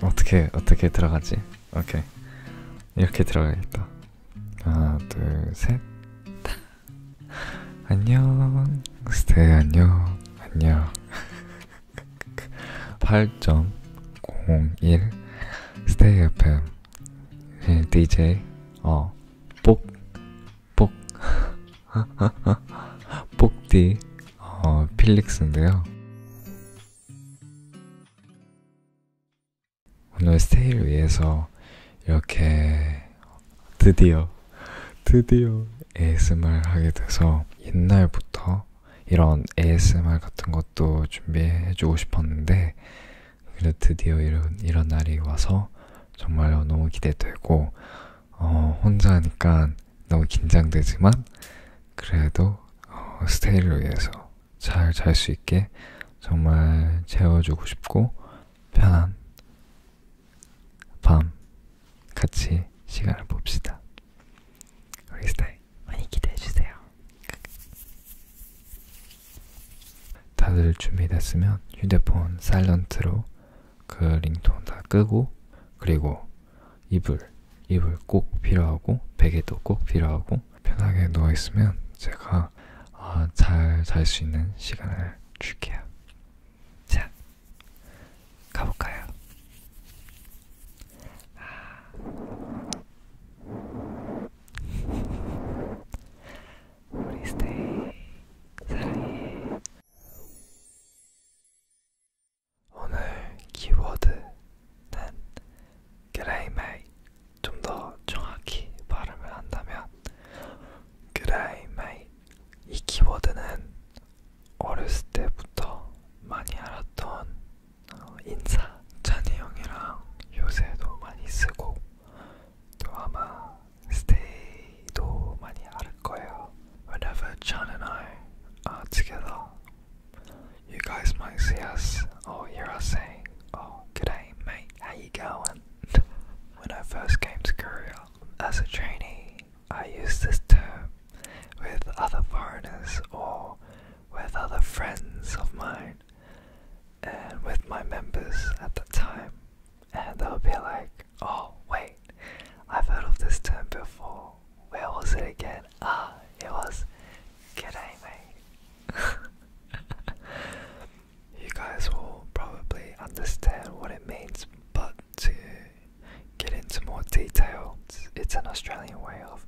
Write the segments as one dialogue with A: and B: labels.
A: 어떻게 어떻게 들어가지? 오케이 이렇게 들어가겠다. 하나 둘 셋. 안녕 스테이 안녕 안녕 8.01 스테이 FM DJ 어 뽁뽁 뽁디 어 필릭스인데요 오늘 스테이를 위해서 이렇게 드디어 드디어 ASMR 하게 돼서 옛날부터 이런 ASMR 같은 것도 준비해주고 싶었는데 그래 드디어 이런 이런 날이 와서 정말 너무 기대되고 어, 혼자 하니까 너무 긴장되지만 그래도 어, 스테이를 위해서 잘 잘 수 있게 정말 채워주고 싶고 편한 밤 같이 시간을 봅시다. 우리 스테이 많이 기대해 주세요. 다들 준비됐으면 휴대폰 사일런트로 그 링톤 다 끄고 그리고 이불, 이불 꼭 필요하고 베개도 꼭 필요하고 편하게 누워 있으면 제가 어, 아, 잘잘 수 있는 시간을 줄게요. 자, 가볼까요? 아. 우리 스테이 사랑해. 오늘 키워드는 그레이메이 좀 더 정확히 발음을 한다면 그레이메이 이 키워드는 어렸을 때부터 많이 알았던 어, 인사 찬이 형이랑 요새도 많이 쓰고 또 아마 스테이도 많이 알을 거예요. Whenever Chan and I are together, you guys might see us or hear us saying, Oh, g'day mate, how you going? when I first came to Korea as a trainee, I used this term with other foreigners or with other friends of mine and with my members at the time and they'll be like, Oh wait, I've heard of this term before. Where was it again? Ah, it was G'day mate. you guys will probably understand what it means, but to get into more detail, it's an Australian way of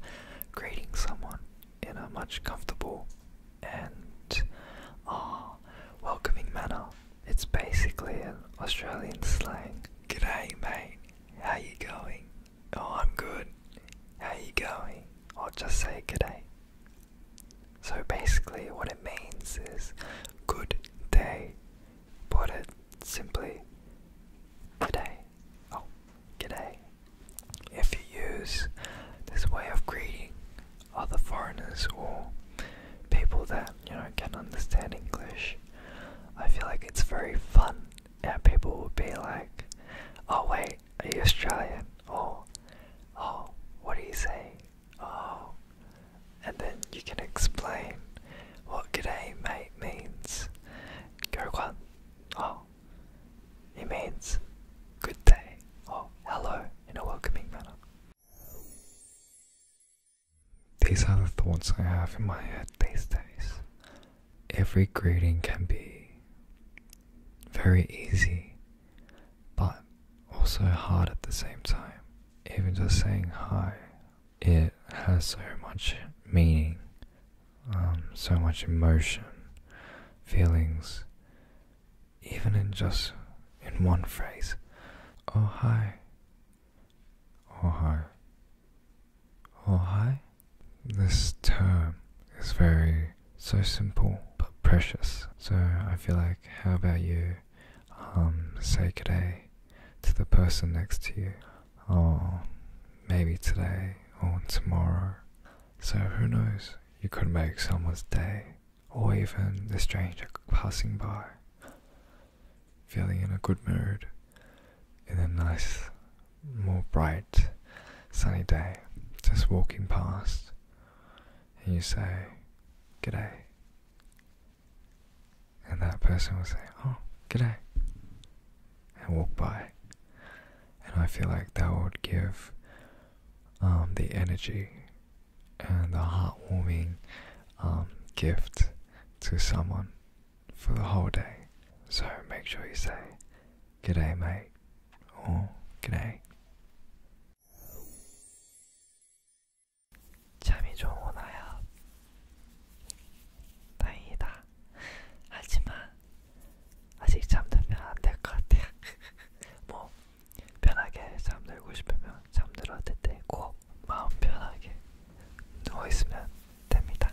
A: greeting someone in a much comfortable and uh, welcoming manner. It's basically an Australian slang. G'day mate, how you going? Oh, I'm good. How you going? I'll just say g'day. So basically, what it means is good day, but it simply g'day. Oh, g'day. If you use this way of greeting other foreigners or people that you know can understand English, I feel like it's very fun, and people will be like, "Oh wait, are you Australian?" Or, "Oh, what do you say?" Oh, and then you can explain what "g'day mate" means. Gerguan, oh, it means good day or hello in a welcoming manner. These are the thoughts I have in my head these days. Every greeting can be very easy, but also hard at the same time. Even just saying hi, it has so much meaning, um, so much emotion, feelings, even in just in one phrase. Oh hi, Ohai. Ohai? This term is very so simple but precious. So I feel like, how about you um, say good day to the person next to you? Or maybe today or tomorrow. So who knows? You could make someone's day or even the stranger passing by feeling in a good mood in a nice, more bright, sunny day, just walking past, and you say, G'day. And that person will say, Oh, g'day. And walk by. And I feel like that would give um, the energy and a heartwarming um, gift to someone for the whole day. So make sure you say, G'day, mate, or G'day. 下面中文来啊，大意다 하지만 아직 잠들면 안될것 같아요. 뭐 편하게 잠들고 싶으면 잠들어도 되고 네, 마음 편하게 누워있으면 됩니다.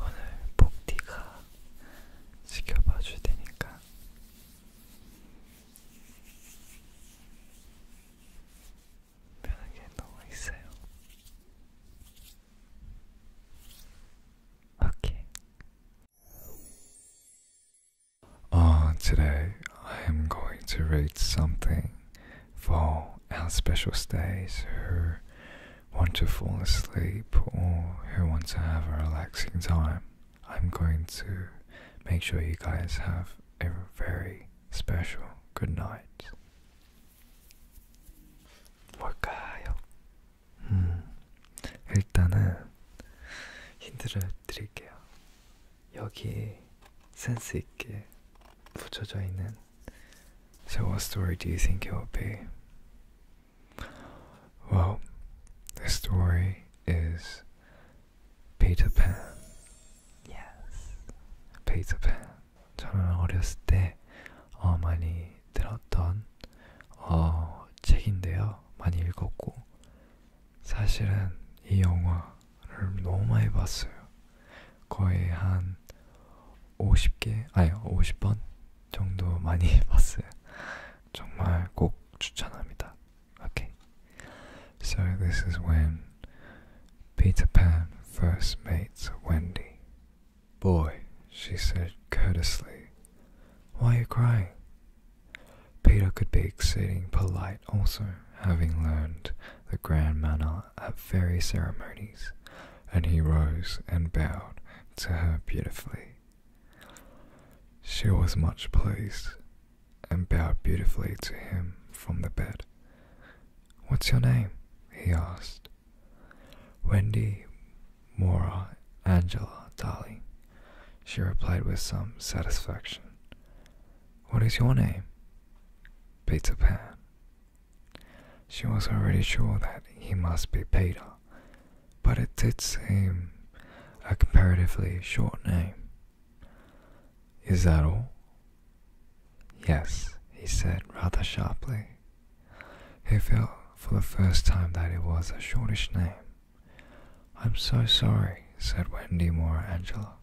A: 오늘 복디가 지켜봐 줄 테니까 Okay. On today, I am going to read something for our special stays who want to fall asleep or who want to have a relaxing time. I'm going to make sure you guys have a very special good night. 뭘까요? 음, hmm. 일단은 힌트를 드릴게요. 여기 센스 있게 붙여져 있는 So what story do you think it will be? Well, the story is 페이저팬 yes. 페이저팬 저는 어렸을 때 어, 많이 들었던 어, 책인데요 많이 읽었고 사실은 이 영화를 너무 많이 봤어요 거의 한 50개 아니 50번 정도 많이 봤어요 정말 꼭 추천합니다 so this is when Peter Pan first meets Wendy. Boy, she said courteously, why are you crying? Peter could be exceeding polite also, having learned the grand manner at fairy ceremonies, and he rose and bowed to her beautifully. She was much pleased, and bowed beautifully to him from the bed. What's your name? he asked. Wendy Mora Angela, Dolly, she replied with some satisfaction. What is your name? Peter Pan. She was already sure that he must be Peter, but it did seem a comparatively short name. Is that all? Yes, he said rather sharply. He felt for the first time that it was a shortish name. I'm so sorry, said Wendy Moore Angela.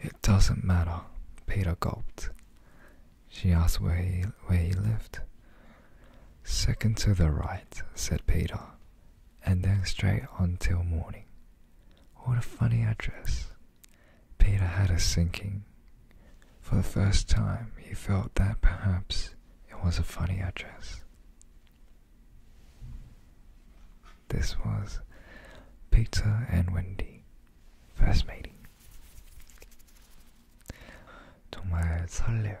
A: It doesn't matter, Peter gulped. She asked where he, where he lived. Second to the right, said Peter, and then straight on till morning. What a funny address. Peter had a sinking. For the first time, he felt that perhaps it was a funny address. This was Peter and Wendy, first meeting. 정말 설레요.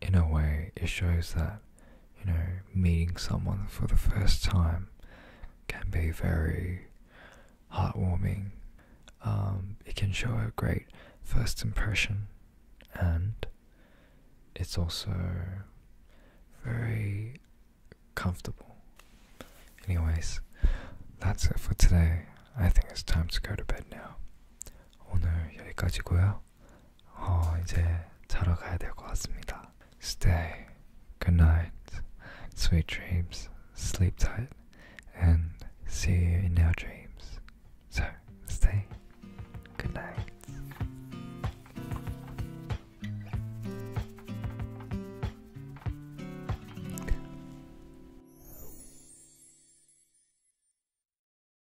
A: in a way, it shows that, you know, meeting someone for the first time can be very heartwarming. Um, it can show a great first impression, and it's also very comfortable. Anyways, that's it for today. I think it's time to go to bed now. 오늘 여기까지고요. 있고요. 이제 자러 가야 될 것 같습니다. Stay, good night, sweet dreams, sleep tight, and see you in our dreams. So, stay, good night.